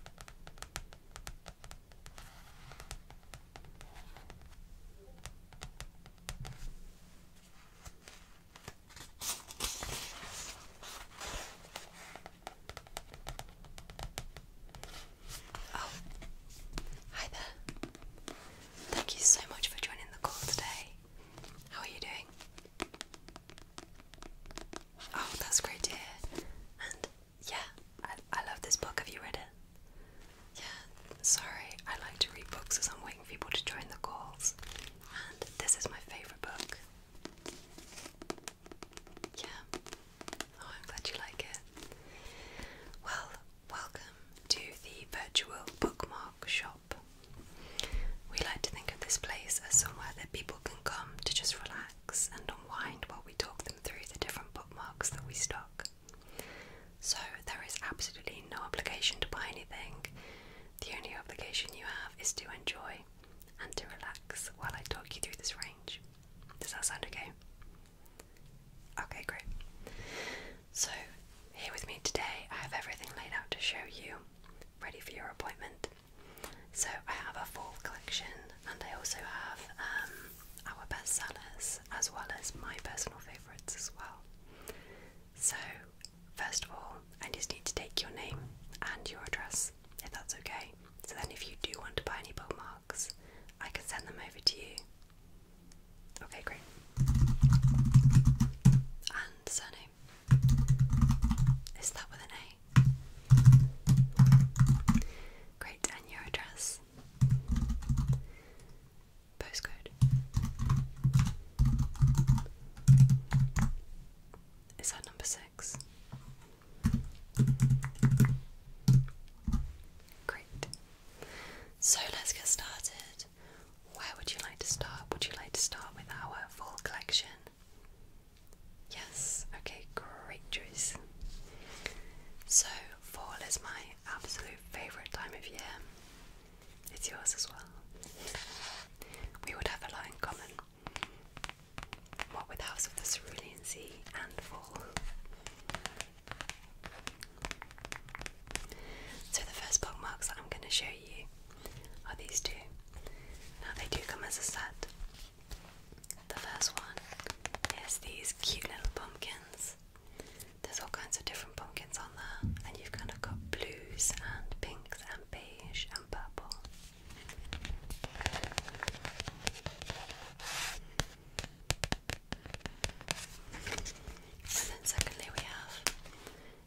Oh, hi there. Thank you so much for joining the call today. How are you doing? Oh, that's great to hear. And yeah, I, I love this book. Have you read it? Yeah, sorry, I like to read books as I'm waiting for people to join the calls. And this is my favourite book. Yeah. Oh, I'm glad you like it. Well, welcome to the virtual bookmark shop. We like to think of this place as somewhere that people can come to just relax and unwind while we talk them through the different bookmarks that we stock. So, there is absolutely no obligation to buy anything. The only obligation you have is to enjoy and to relax while I talk you through this range. Does that sound okay? Okay, great. So, here with me today, I have everything laid out to show you, ready for your appointment. So I have a full collection, and I also have um, our best sellers as well as my personal favourites as well. So, first of all, I just need to take your name and your address, if that's okay. So then, if you do want to buy any bookmarks, I can send them over to you. Okay, great. And surname. Is that with an Great, and your address? Postcode. Is that number six? Great. So let's get started. Where would you like to start? Would you like to start with our fall collection Yes, okay, great choice. So, fall is my absolute favourite time of year. It's yours as well. We would have a lot in common. What with House of the Cerulean Sea and Fall. So, the first bookmarks that I'm going to show you are these two. Now, they do come as a set, the first one is these cute little pumpkins. There's all kinds of different pumpkins on there, and you've kind of got blues and pinks and beige and purple. And then, secondly, we have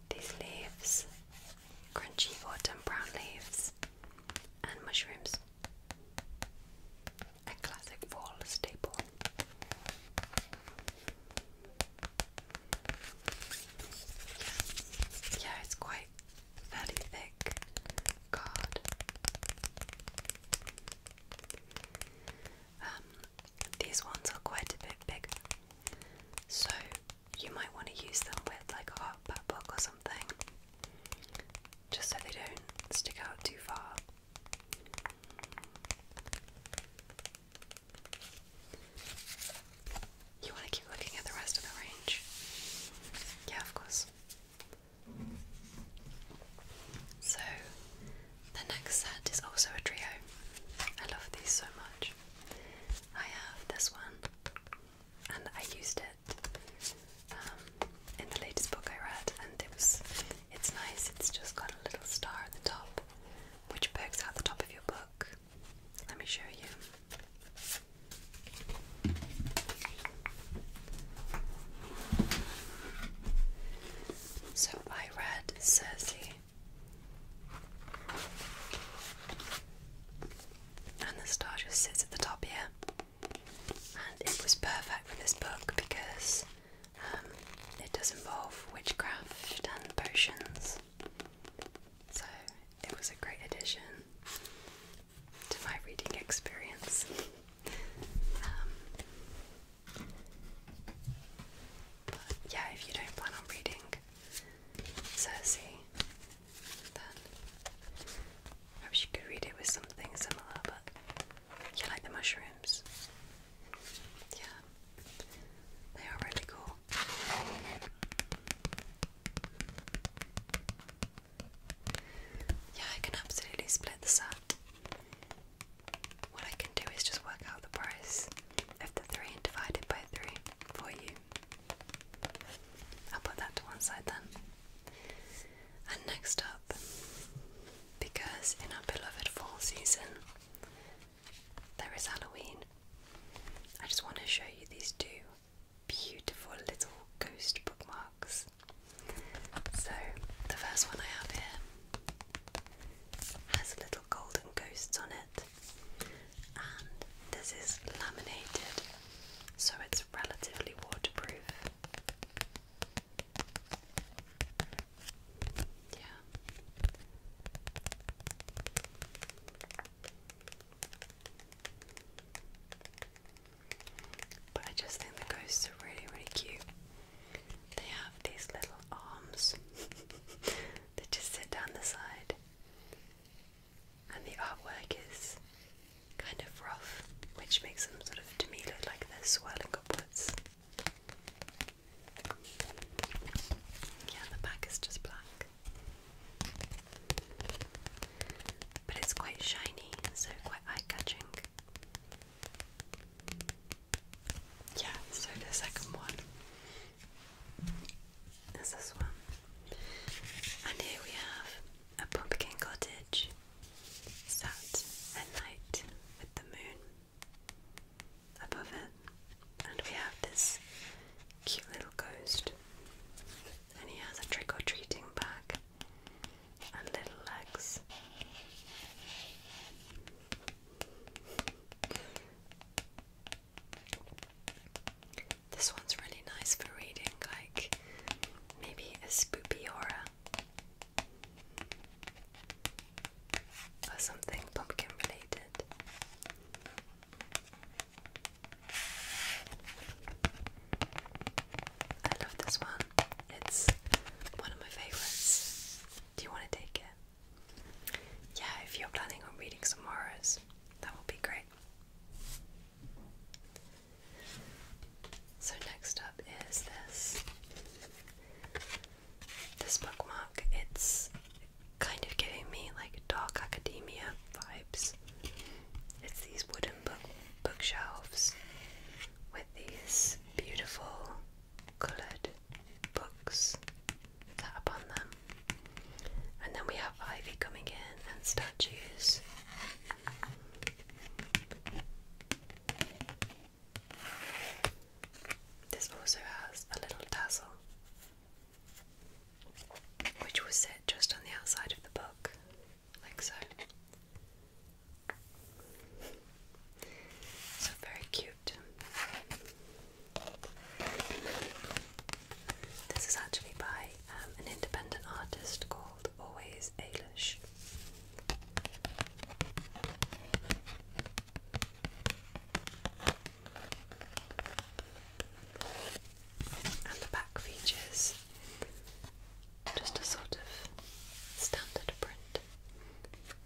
these leaves crunchy autumn brown leaves and mushrooms. A classic fall staple. Yeah, yeah it's quite fairly thick card. Um, these ones are quite a bit bigger, so you might want to use them with like a hot pet book or something just so they don't stick out too far. You want to keep looking at the rest of the range? Yeah, of course. So, the next set is also a trio. I love these so much. I have this one, and I used it it um, in the latest book I read, and it was it's nice. It's just got a little star at the top, which pokes out the top of your book. Let me show you. So I read Circe, and the star just sits at the top here it was perfect for this book because um, it does involve witchcraft and potions. So it was a great addition to my reading experience. Um, but yeah, if you don't plan on reading Cersei, I wish you could read it with something similar, but you like the mushrooms. Yeah, they are really cool. Yeah, I can absolutely split this up. What I can do is just work out the price of the three and divide it by three for you. I'll put that to one side then. And next up, because in our beloved fall season there is Halloween, I just want to show you these two beautiful little ghost bookmarks. So, the first one I have here has little golden ghosts on it, and this is laminated so it's relatively waterproof. Yeah. But I just think the ghosts are really, really cute. They have these little arms that just sit down the side and the artwork is kind of rough, which makes them sort of to me look like they're swirling upwards. Yeah, the back is just black. But it's quite shiny, so quite eye catching. Yeah, so the second one there's this one. And here we have a pumpkin cottage sat at night with the moon above it. And we have this cute little ghost. And he has a trick or treating bag and little legs. This one's really nice for reading, like maybe a spooky aura or something pumpkin related. I love this one. It's one of my favorites. Do you want to take it? Yeah, if you're planning on reading some horrors, that would be great. So next up is this this bookmark. It's kind of giving me like dark academia vibes. It's these wooden book bookshelves with these beautiful coloured books that upon them. And then we have ivy coming in and statues. This also has a little tassel which will sit just on the outside of the book, like so. So very cute. This is actually by um, an independent artist called Always Ailish. And the back features just a sort of standard print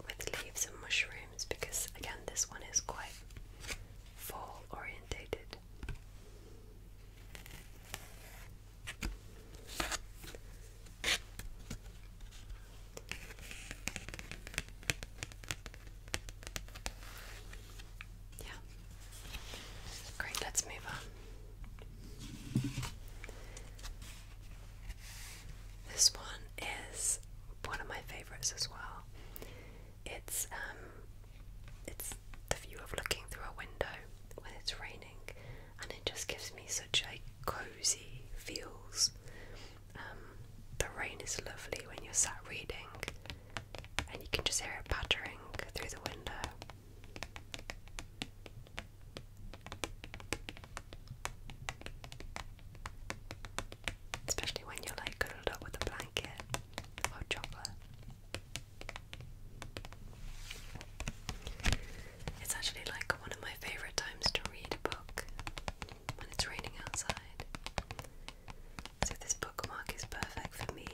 with leaves and mushrooms because, again, this one is quite fall orientated. Yeah. Great, let's move on. This one is one of my favorites as well. It's um it's the view of looking through a window when it's raining, and it just gives me such a cozy feels. Um, the rain is lovely when you're sat reading, and you can just hear it pattering through the window. Especially when you're like cuddled up with a blanket or chocolate. It's actually like one of my favorite times to read a book when it's raining outside. So, this bookmark is perfect for me.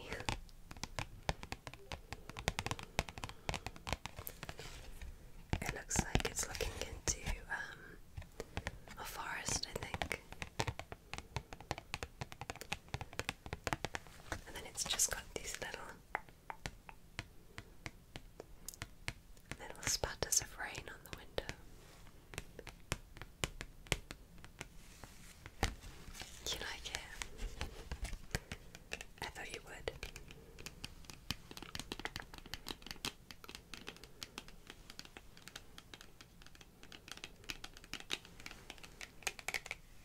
It looks like it's looking into um, a forest, I think and then it's just got these little little spatters of rain on the window. You like it? I thought you would.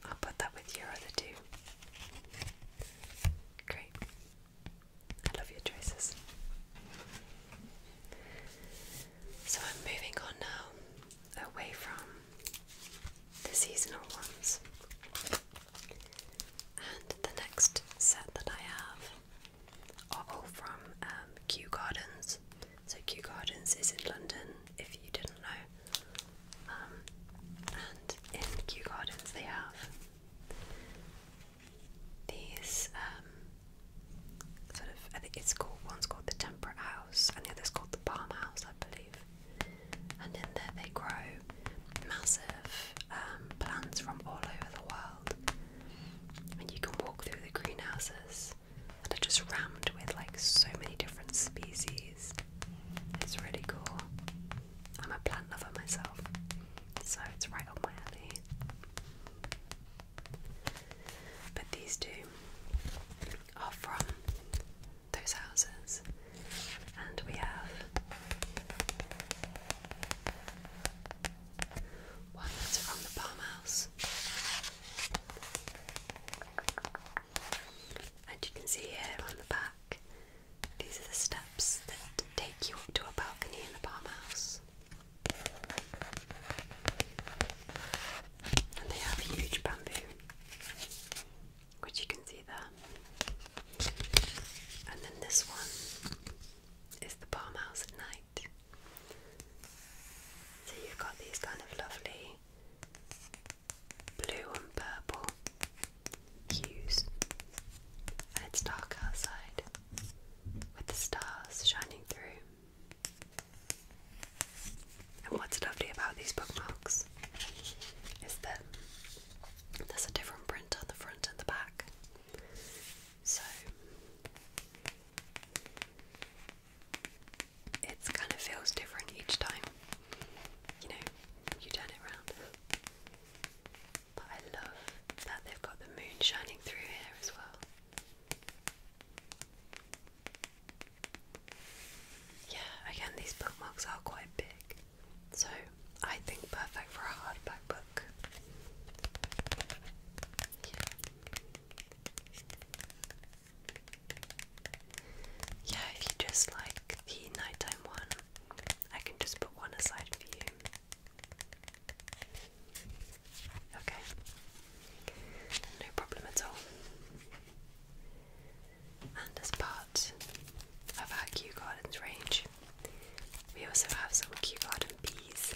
I'll put that with your other two. Great. I love your choices. So I'm moving on now away from the seasonal ones. And the next set that I have are all from um, Kew Gardens. So Kew Gardens is in London, if you didn't know. Um, and in Kew Gardens they have these um, sort of, I think it's called, one's called the Temperate House and the other's called the Palm House, I believe. And in there they grow massive um, plants from all over the world. And you can walk through the greenhouses and that just rammed with like so many different species. It's really cool. I'm a plant lover myself, so it's right up my alley. But these two are from those houses, and we have one that's from the palm house, and you can see here on the back, these are the steps that take you up to a balcony in the Palm House. And they have huge bamboo, which you can see there. And then this one is the Palm House at night. So you've got these kind of lovely blue and purple hues, and it's dark outside with the stars shining through. And what's lovely about these bookmarks is that there's a different print on the front and the back. So it kind of feels different each time, you know, you turn it around. But I love that they've got the moon shining through here as well. Yeah, again, these bookmarks are quite big, so I think perfect for a hardback book. Yeah, if you just like the nighttime one, I can just put one aside for you. Okay. No problem at all. And as part of our Kew range, we also have some Kew Garden bees.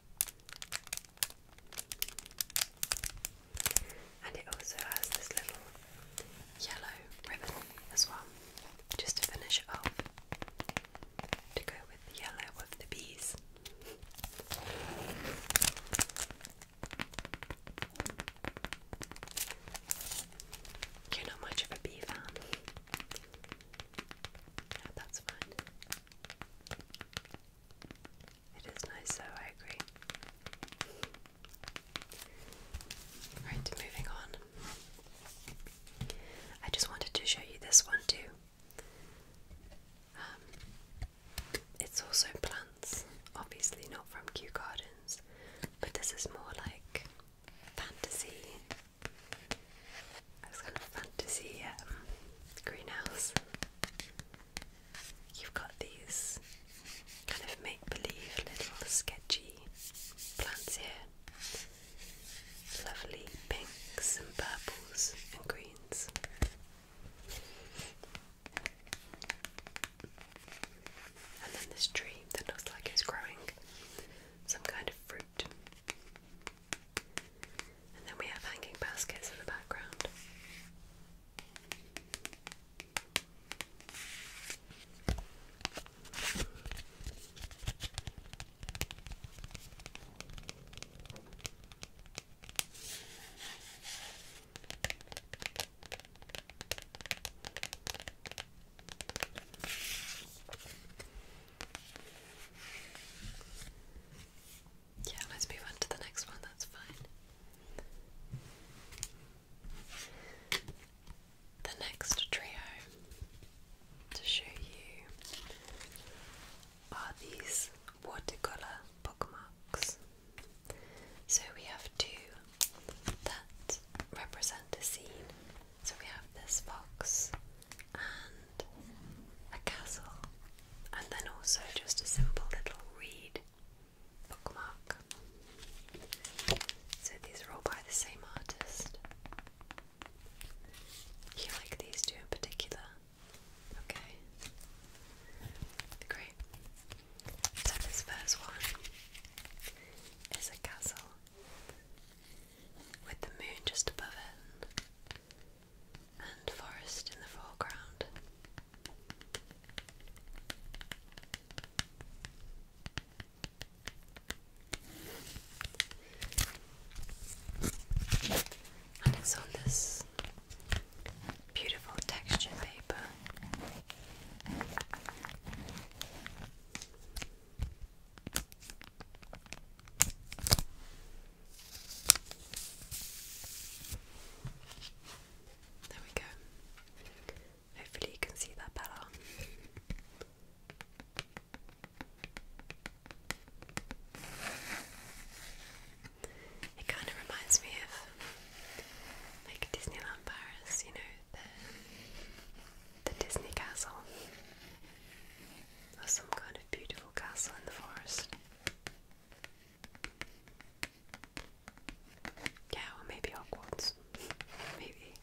And it also has this little yellow ribbon as well, just to finish it off, to go with yellow of the bees. You're not much of a bee fan. Yeah, that's fine. It is nice though, I agree. Right, moving on. I just wanted to show you this one too. Um, it's also plants, obviously not from Kew Gardens, but this is more like fantasy it's kind of fantasy um, greenhouse. You've got these kind of make believe little sketchy plants here. Lovely pinks and purples and greens. And then this tree that looks like it's growing some kind of fruit. And then we have hanging baskets in the background. Yeah, let's move on to the next one, that's fine. The next trio to show you are these watercolour bookmarks. So we have two that represent a scene. So we have this box and a castle, and then also just a simple little reed bookmark. So these are all by the same artist. You like these two in particular? Okay. Great. So this first one is a castle with the moon just above it and forest in the foreground. And it's on this beautiful texture paper. There we go. Hopefully, you can see that better. It kind of reminds me of like Disneyland Paris, you know, the the Disney castle of some kind of beautiful castle in the forest. Yeah, or maybe Hogwarts. maybe.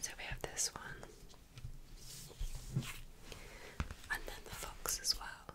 So we have this one. And then the fox as well.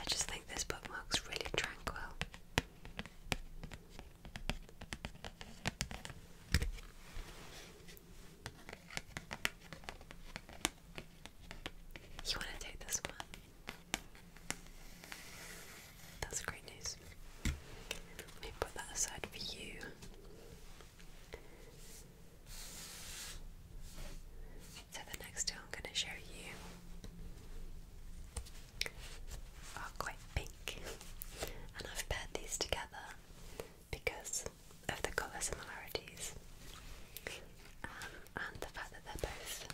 I just think this bookmark's really tranquil. You want to take this one? That's great news. Let me put that aside for you. So, the next two I'm going to show you are quite pink, and I've paired these together because of the colour similarities um, and the fact that they're both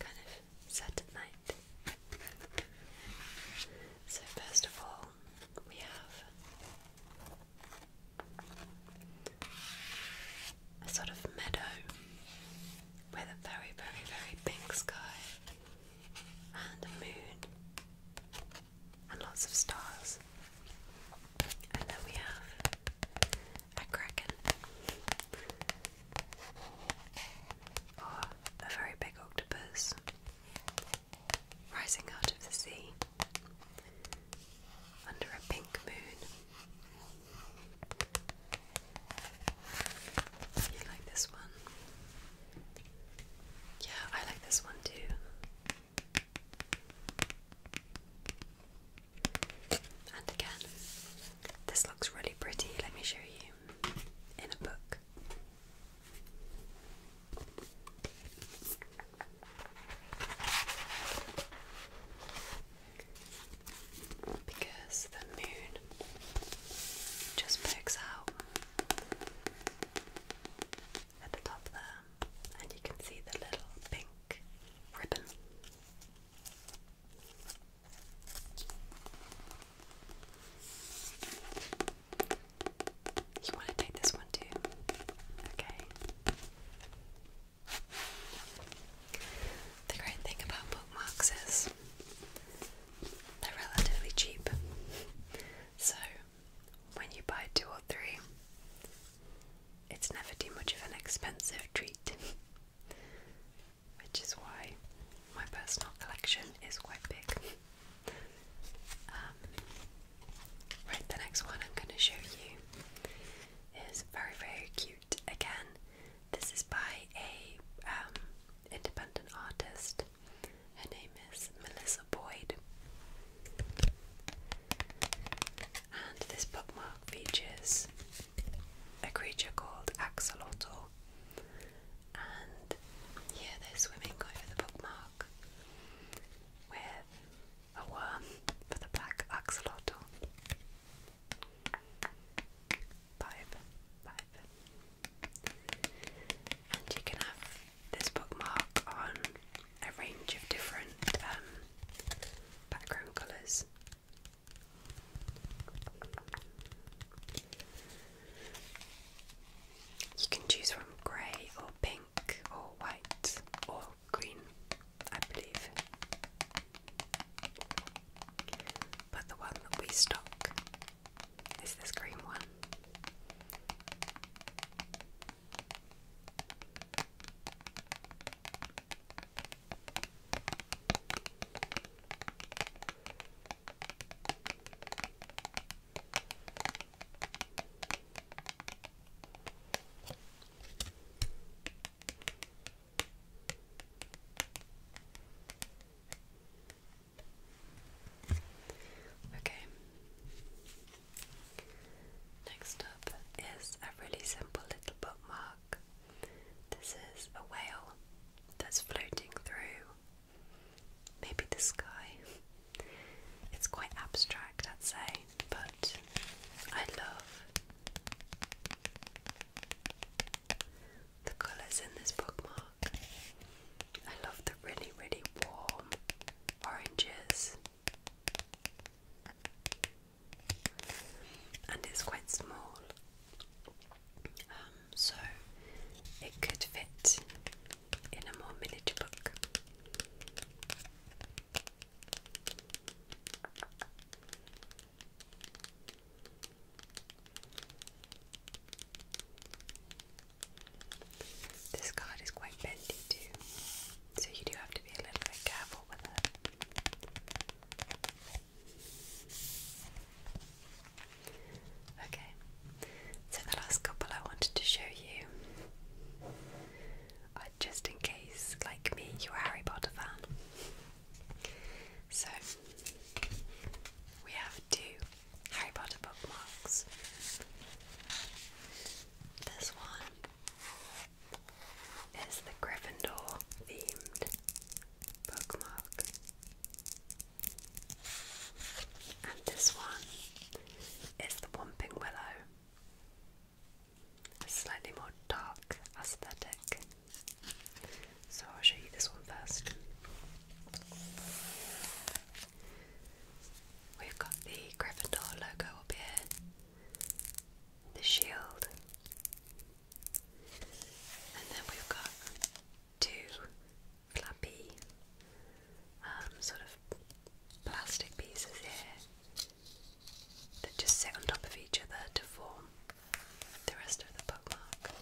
kind of set at So, first of all, we have a sort of meadow with a very, very, very pink sky and a moon and lots of stars. And then we have a kraken or a very big octopus rising out of the sea under a pink moon. You like this one? Yeah, I like this one too. And again, this looks really pretty. Let me show you in a book because the moon just pokes out at the top there, and you can see the little pink ribbon. You want to take this one too? Okay. The great thing about bookmarks is they're relatively cheap. So when you buy two or three, it's never too much of an expensive treat. Which is why my personal collection is quite big. Um, right, the next one I'm going to show you is very very cute. Again, this is by a um, independent artist. Her name is Melissa Boyd, and this bookmark features a creature called Axolotl. And yeah, they're swimming over the bookmark with a worm for the black axolotl. Pipe, pipe. And you can have this bookmark on a range of different um, background colours. You can choose from grey or pink or white or green, I believe. But the one that we stock is this green one. Okay. Next up is a really simple little bookmark. This is a whale that's floating through maybe the sky. It's quite abstract, I'd say but I love the colours in this bookmark. I love the really, really warm oranges, and it's quite small, um, so it could fit in a more miniature book. This card is quite bendy too, so you do have to be a little bit careful with it. Okay, so the last couple I wanted to show you just in case, like me, you're a Harry Potter fan. So, we have two Harry Potter bookmarks. This one is the Gryffindor themed bookmark, and this one is the Whomping Willow a slightly more dark aesthetic. So I'll show you this one first. We've got the Gryffindor logo up here, the shield, and then we've got two flappy um, sort of plastic pieces here that just sit on top of each other to form the rest of the bookmark.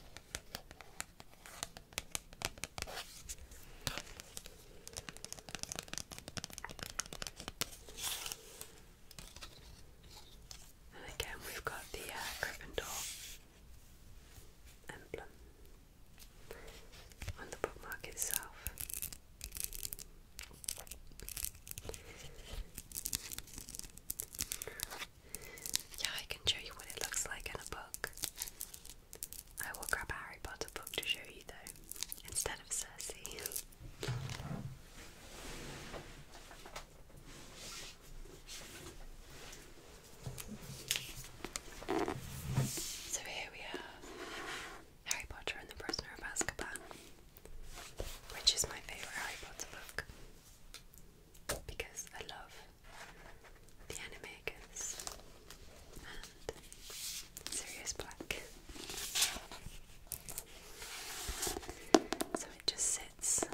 And again, we've got the uh, Gryffindor emblem on the bookmark itself. Yeah, I can show you what it looks like in a book. I will grab Harry Potter book to show you though, instead of Cersei. So here we are. Harry Potter and the Prisoner of Azkaban, which is my favourite Harry Potter book because I love the animators and Sirius Black. So it just sits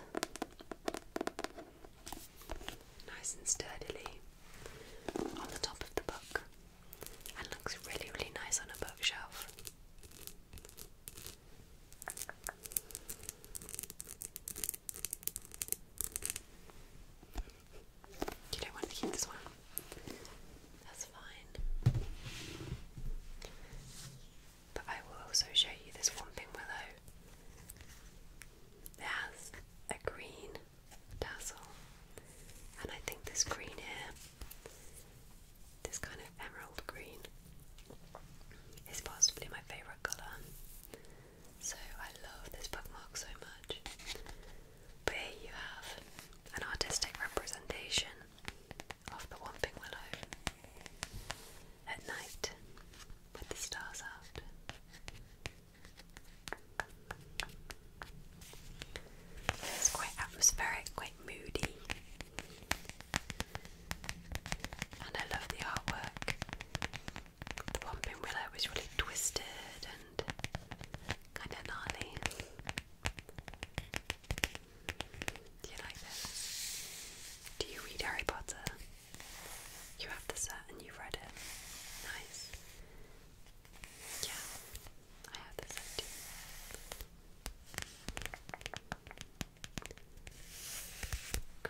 nice and sturdily on the top of the book and looks really, really nice on a bookshelf. don't want to keep this one. That's fine. But I will also show you this Whomping Willow. It has a green tassel, and I think this green here this kind of emerald green is possibly my favourite colour. So I love this bookmark so much. But here you have an artistic representation of the Whomping Willow at night with the stars out. It's quite atmospheric, quite moody. And I love the artwork. The one pinwheeler was really twisted and kind of gnarly. Do you like this? Do you read Harry Potter? You have the set and you've read it. Nice. Yeah, I have this one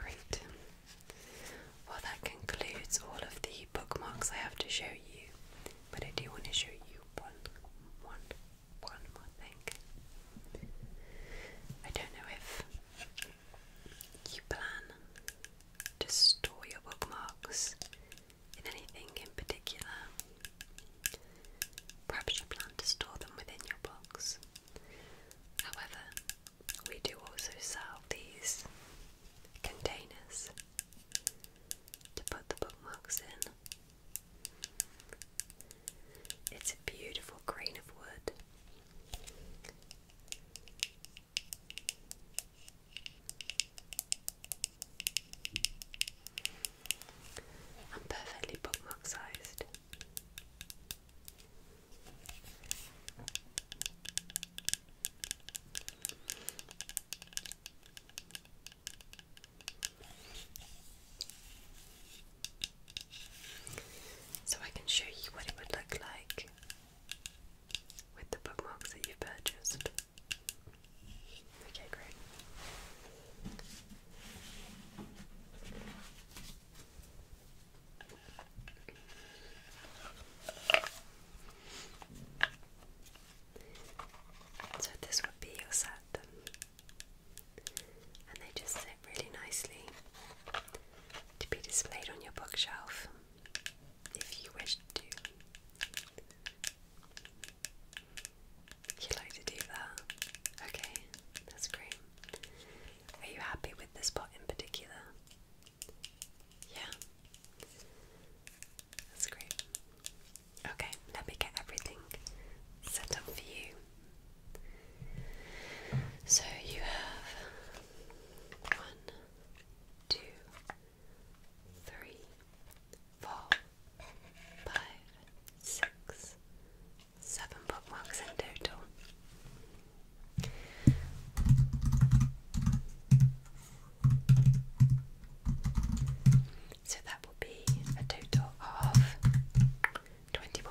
Great. Well, that concludes all of the bookmarks I have to show you, but I do want to show you one, one, one thing. I don't know if you plan to store your bookmarks in anything in particular. Perhaps you plan to store them within your box. However, we do also sell these containers to put the bookmarks in. It's a beautiful grain of wood. I'm perfectly bookmark sized. So I can show you what it would look like with the bookmarks that you've purchased. Okay, great. So, this would be your set, and they just sit really nicely to be displayed on your bookshelf if you wish to. You like to do that? Okay, that's great. Are you happy with this pot in particular? Yeah. That's great. Okay, let me get everything set up for you. So you have one, two, three, four, five, six, seven bookmarks in total. So that will be a total of £21.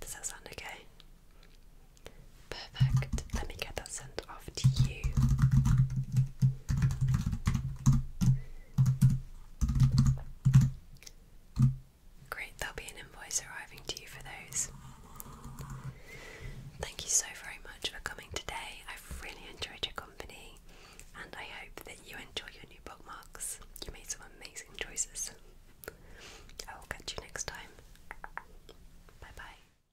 Does that sound okay? Perfect. Let me get that sent off to you. Great, there'll be an invoice arriving to you for those. Thank you so very much for coming today. I've really enjoyed your company and I hope that you enjoy your new bookmarks. You made some amazing choices. I will catch you next time. Bye bye.